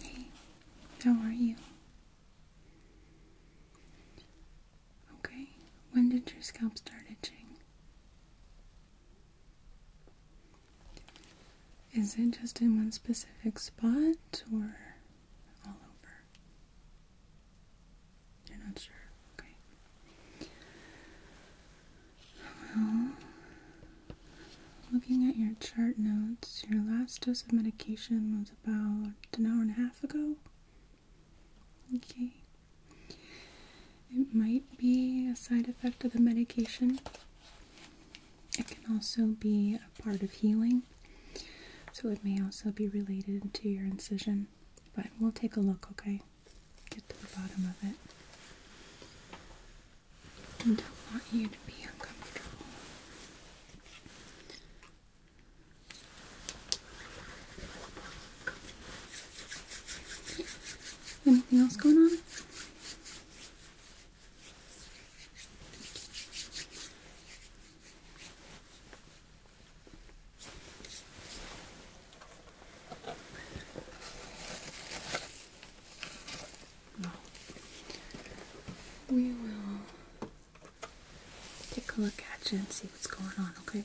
Hey, how are you? Okay, when did your scalp start itching? Is it just in one specific spot or all over? You're not sure. Okay. Well, looking at your chart notes, your last dose of medication was about an hour and a half ago. Okay. It might be a side effect of the medication. It can also be a part of healing. So it may also be related to your incision. But we'll take a look, okay? Get to the bottom of it. don't want you to be uncomfortable. Anything else going on? Well, we will take a look at you and see what's going on, okay?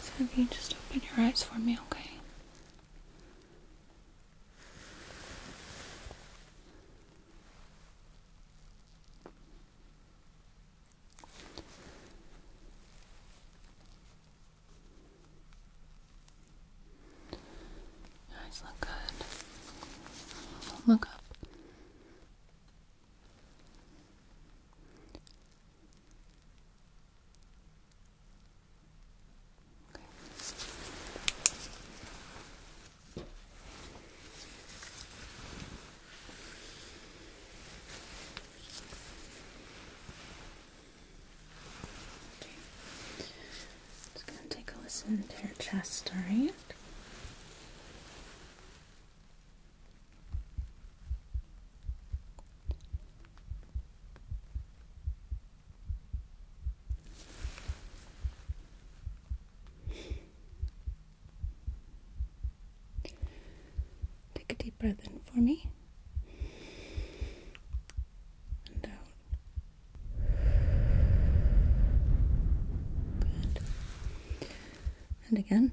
So if you just open your eyes for me, okay? Your eyes look good. Look up. Okay. Just gonna take a listen to your chest, alright? Take a deep breath in for me and out. Good. And again.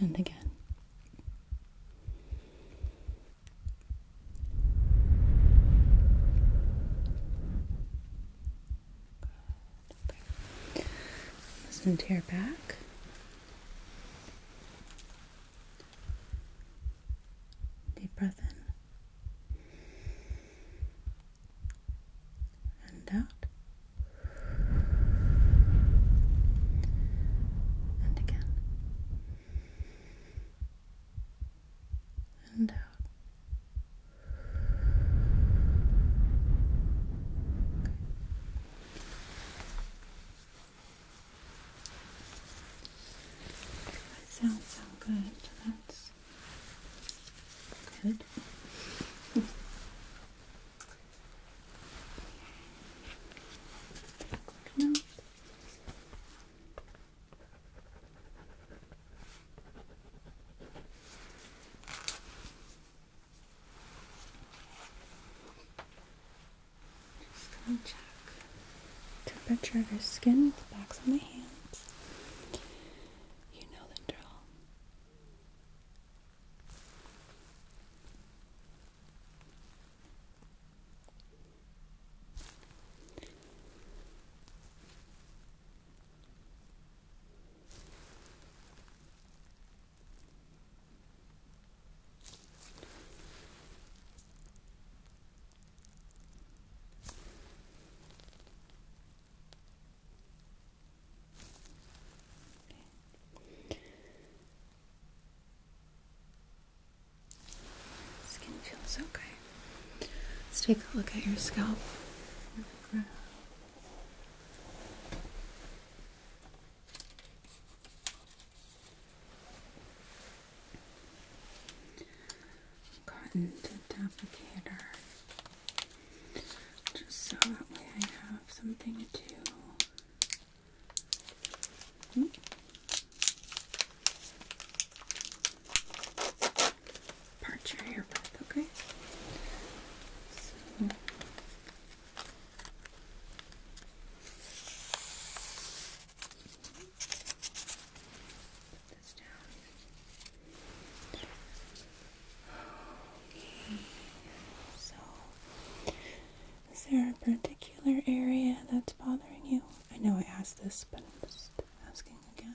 And again. Good. Okay. Listen to your back. Deep breath in and out, and again, and out. That sounds so good. That's good. Just gonna check temperature of your skin with the backs of my hands. You know the drill. Skin feels okay. Let's take a look at your scalp cotton tip top just so that way I have something to hmm? part your hair with, okay? so is there a particular area that's bothering you? I know I asked this, but I'm just asking again.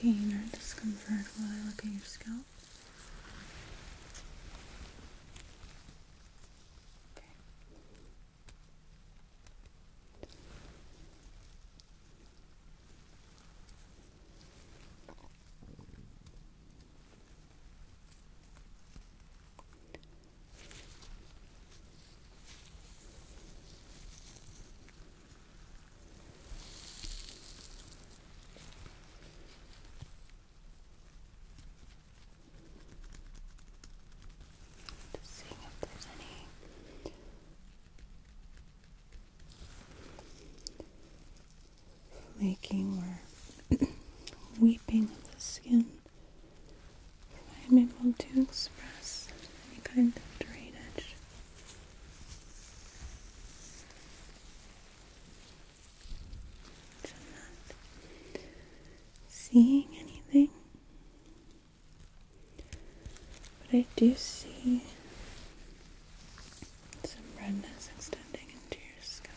pain or discomfort while I look at your scalp. Okay. Just seeing if there's any flaking or weeping of the skin. I'm able to express any kind of drainage. I'm not seeing anything, but I do see some redness extending into your scalp.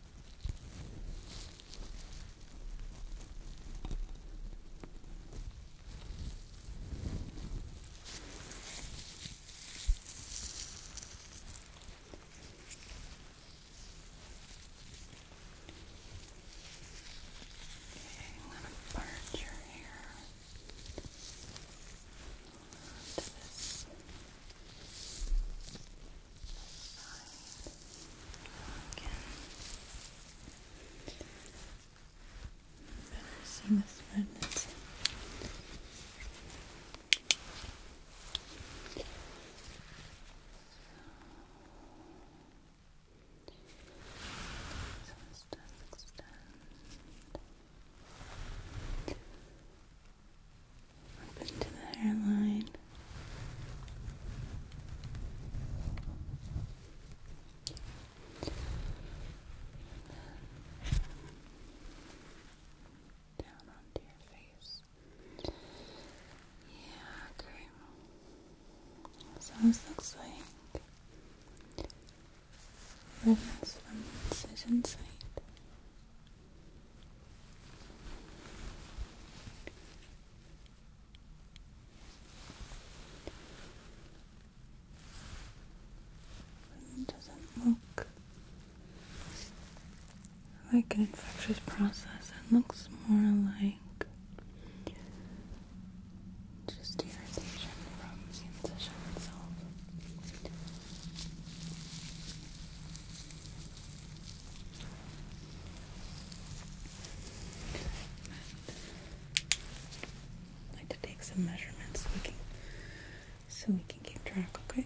I'm going to part your hair onto this. Balancing the thread that's so, extend, extend up into the hairline. Down onto your face. Yeah, great. So this looks like redness from incision site. It doesn't look like an infectious process. It looks more like just irritation from the incision itself. I'd to take some measurements so we can, keep track, Okay.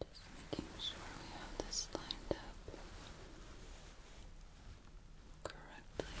Just making sure we have this lined up correctly. Okay.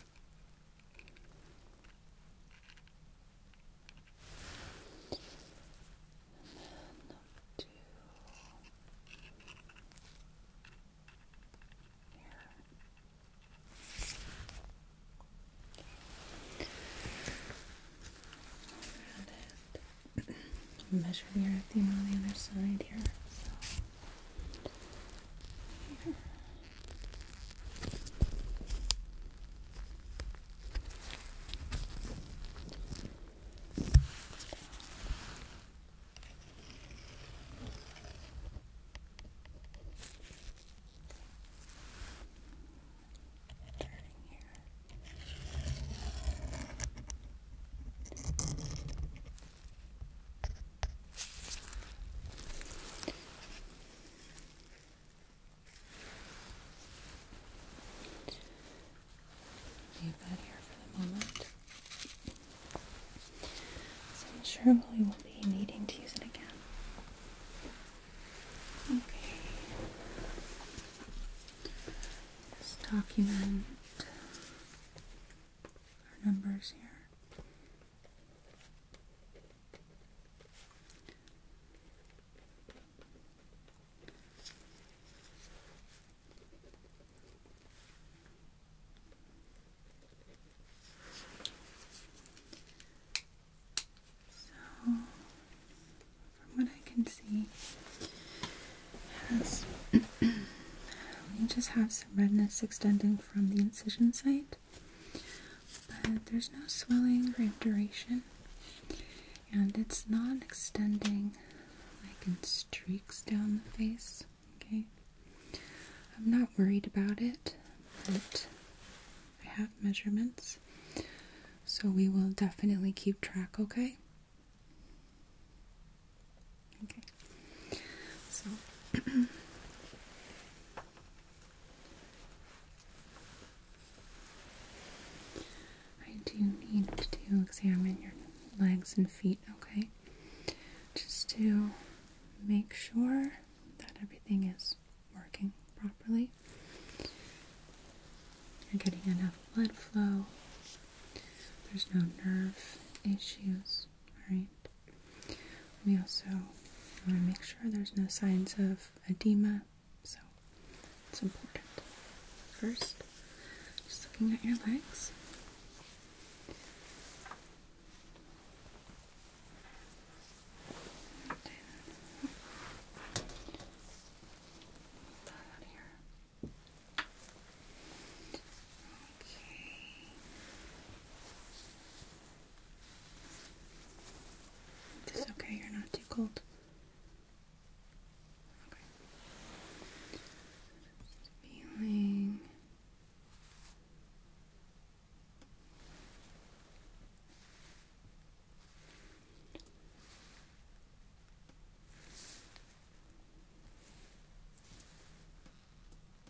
And then do here. Around it. Measure here at the on the other side here. Here. Turning here. Leave that here for the moment. So I'm sure we will be needing to use it again. Okay. Let's our numbers here. So, from what I can see, has we just have some redness extending from the incision site, but there's no swelling or duration, and it's not extending like in streaks down the face. Okay, I'm not worried about it, but I have measurements, so we will definitely keep track, okay? Okay. So I do need to examine your legs and feet, okay? Just to make sure that everything is working properly. You're getting enough blood flow. There's no nerve issues. All right. We also want to make sure there's no signs of edema, so it's important. First, just looking at your legs. Okay. It's okay, you're not too cold. Okay. feeling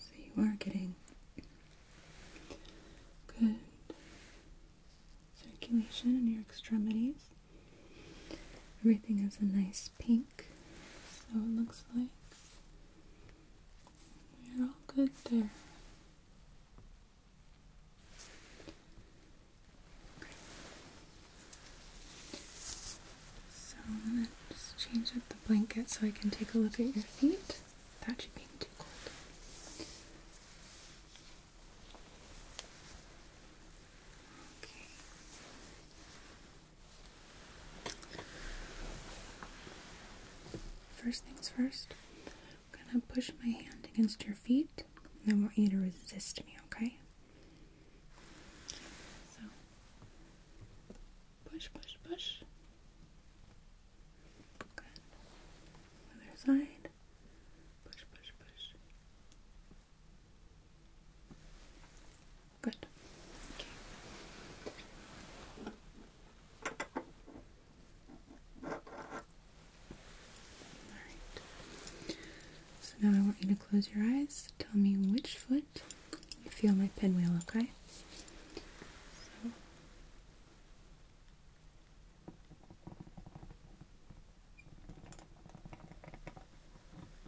So you are getting good circulation in your extremities. Everything is a nice pink, so it looks like we're all good there. So I'm gonna just change up the blanket so I can take a look at your feet. That should be too cold. Okay. First things first, I'm gonna push my hand against your feet, and I want you to resist me, okay? So, push, push, push. Good. Other side. Push, push, push. Good. Okay. All right. So now I want you to close your eyes. Tell me which foot you feel my pinwheel, okay?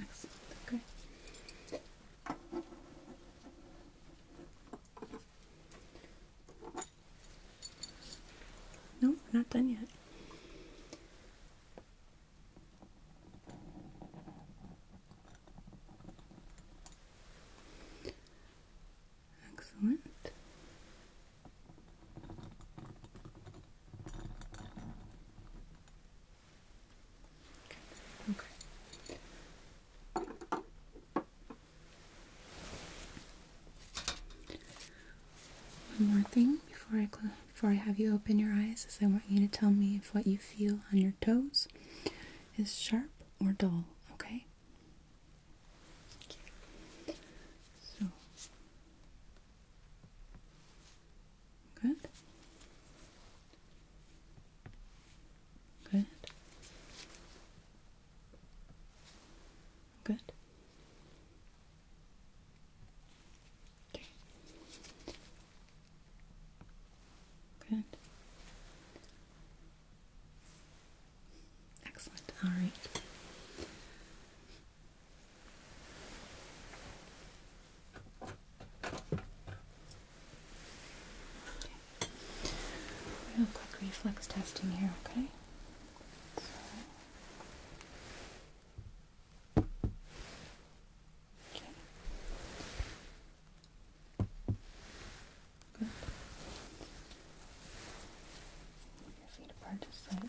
Excellent. Okay. No, not done yet. Excellent. One more thing before I before I have you open your eyes is I want you to tell me if what you feel on your toes is sharp or dull, okay? Good. Good. Good. Okay. Good. Excellent. All right. Okay. Real quick reflex testing here, okay? Okay. Good. your feet apart just slightly.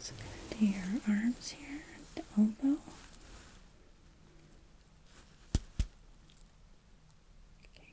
So go your arms here, the elbow. Okay.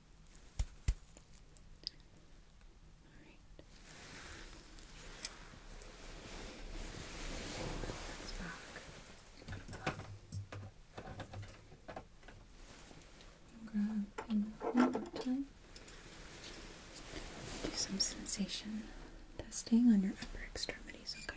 Alright. Grab one more time. Do some sensation testing on your upper extremities, okay?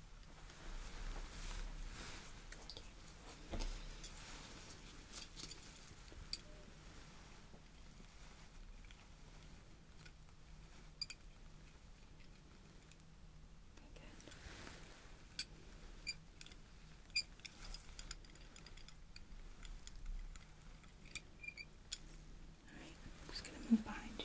Alright, I'm just going to move behind you.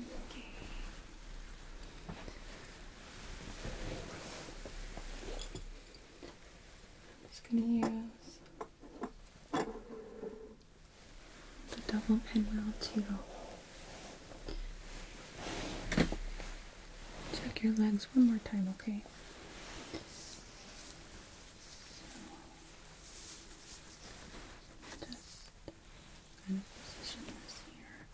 Okay. I'm just going to use the double pinwheel too. Check your legs one more time, okay? So, just position this here.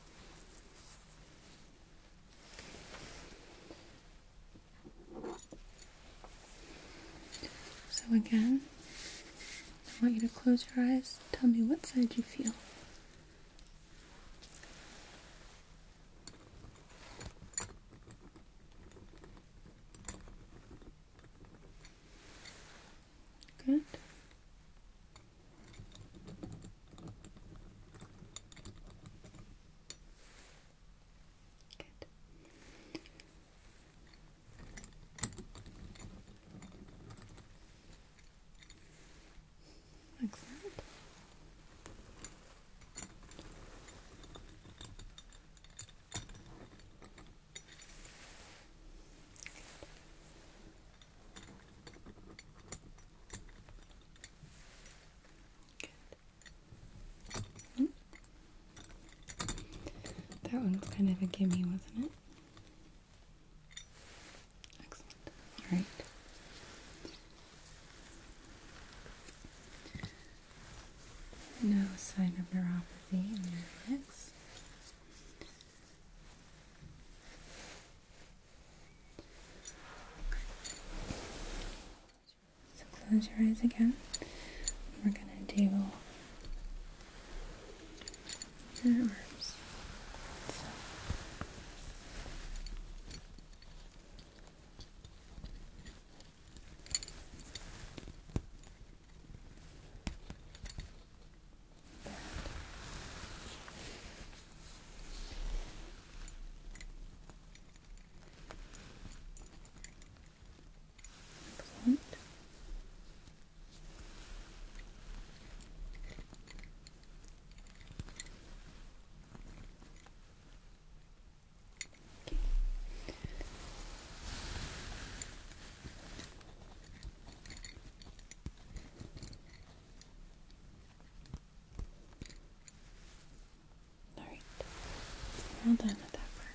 So again, I want you to close your eyes. Tell me what side you feel. Good. Good. Like that. Good. That one was kind of a gimme, wasn't it? Excellent. All right. No sign of neuropathy in your legs. So close your eyes again. We're going to do your arms. All right, well done with that part.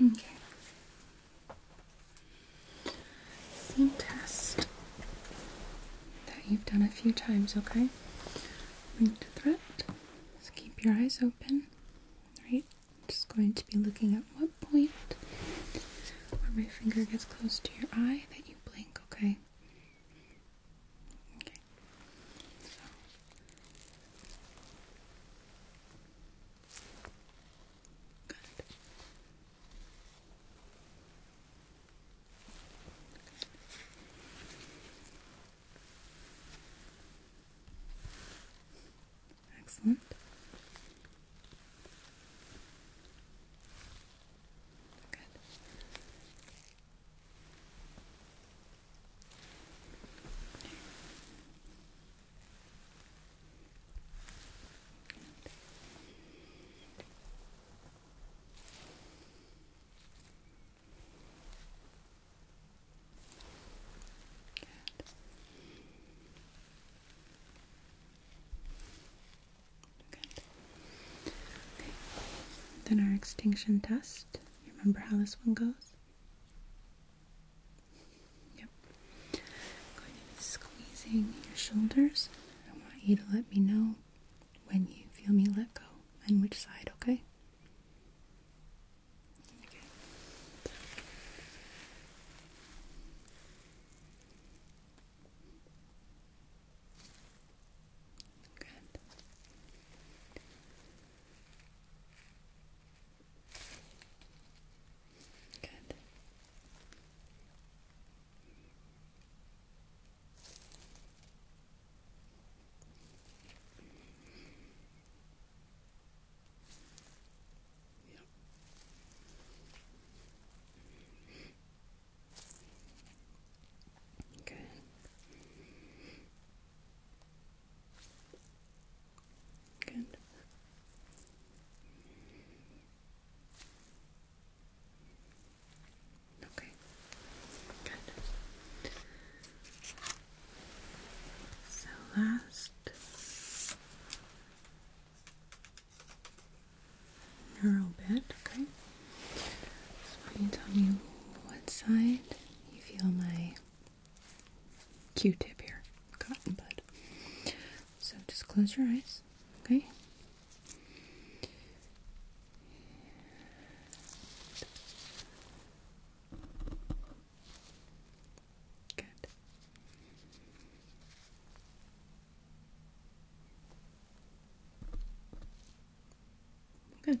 Okay. Same test that you've done a few times, okay? Linked threat. Just keep your eyes open. Right? Just going to be looking at what point where my finger gets close to your eye that you blink, okay? Okay. So Good. Excellent. Good. Then our extinction test. You remember how this one goes? Yep. going to be squeezing your shoulders. I want you to let me know when you feel me let go and which side, okay? Okay. Good. Good. Yep. Good. Good. Okay. So last neural bit, okay. can you tell me what side you feel my Q-tip here, cotton bud. So just close your eyes, okay? Good. Good.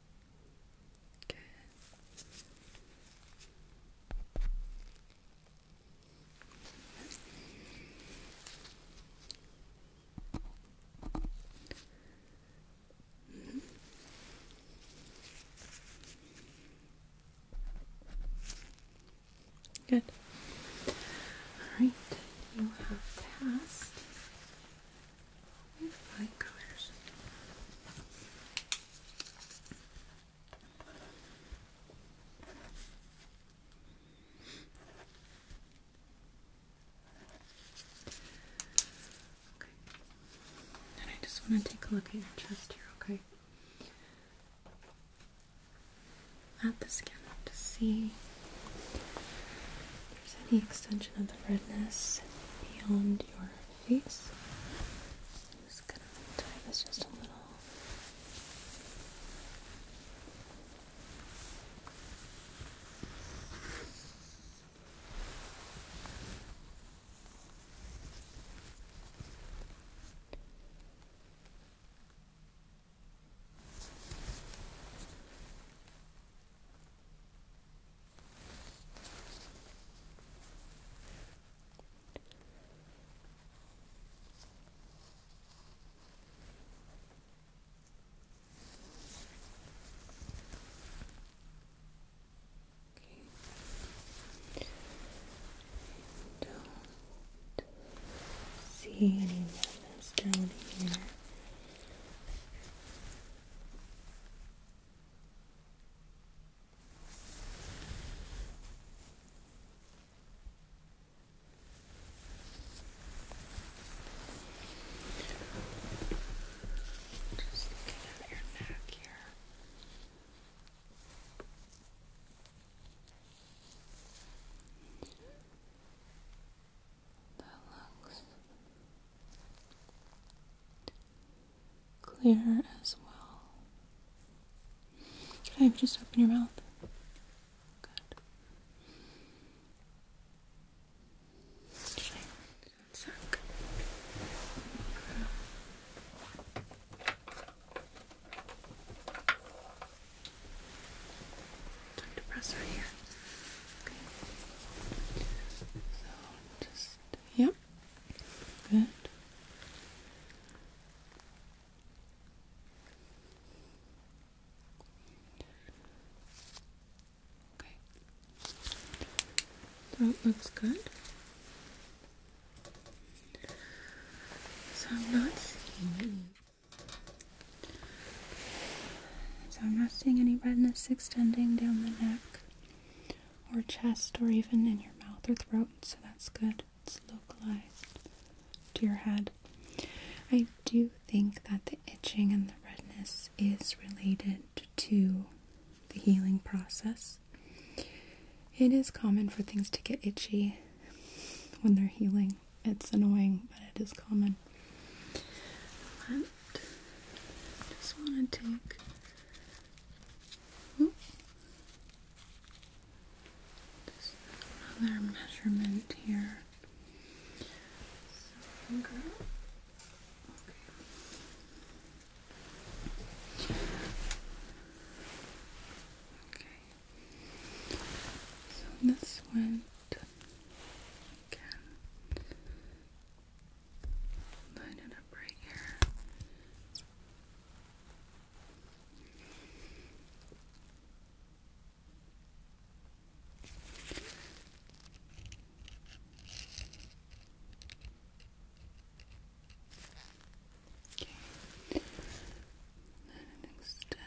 Good. All right, you have passed with fine colors. Okay. I just want to take a look at your chest here, okay? At the skin to see there's any extension of the redness beyond your face. I'm just gonna tie this just a little. Don't see any movements down here. Just looking at your neck here that looks clear as well. I just open your mouth. Good. Okay, one sec. Time to press right here. Okay. So just, yep. Good. Okay. Throat looks good. So I'm not seeing So I'm not seeing any redness extending down the neck or chest or even in your mouth or throat, so that's good. It's localized to your head. I do think that the itching and the redness is related to the healing process. It is common for things to get itchy when they're healing. It's annoying, but it is common just want to take oh, another measurement here. Okay. So this went again. Line it up right here. Okay. Then it extends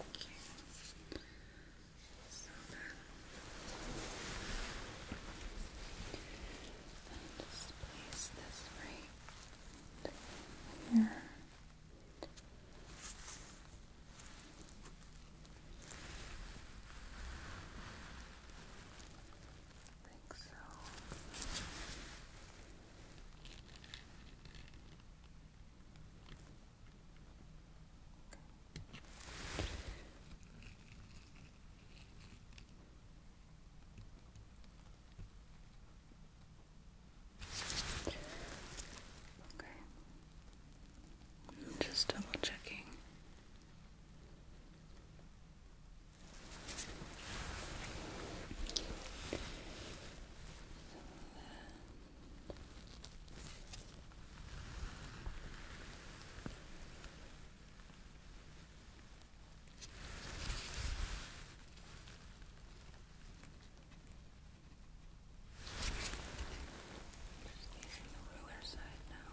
Okay. So just place this right here. I think so just double checking. Just using the ruler side now.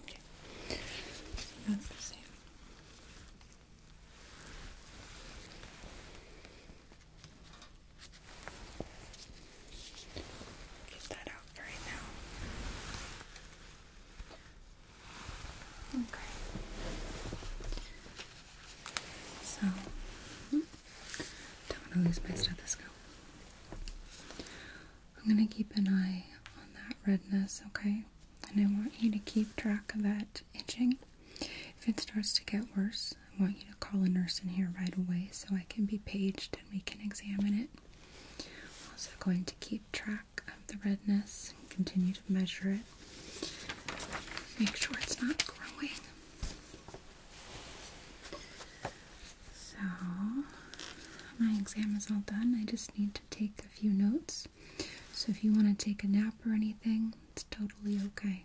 Okay. So that's the same. Get that out right now. Okay. So hmm. Don't want to lose my stethoscope. I'm going to keep an eye on that redness, okay? And I want you to keep track of that itching. If it starts to get worse, I want you to call a nurse in here right away so I can be paged and we can examine it. I'm also going to keep track of the redness and continue to measure it. Make sure it's not growing. So, my exam is all done. I just need to take a few notes. So, if you want to take a nap or anything, it's totally okay.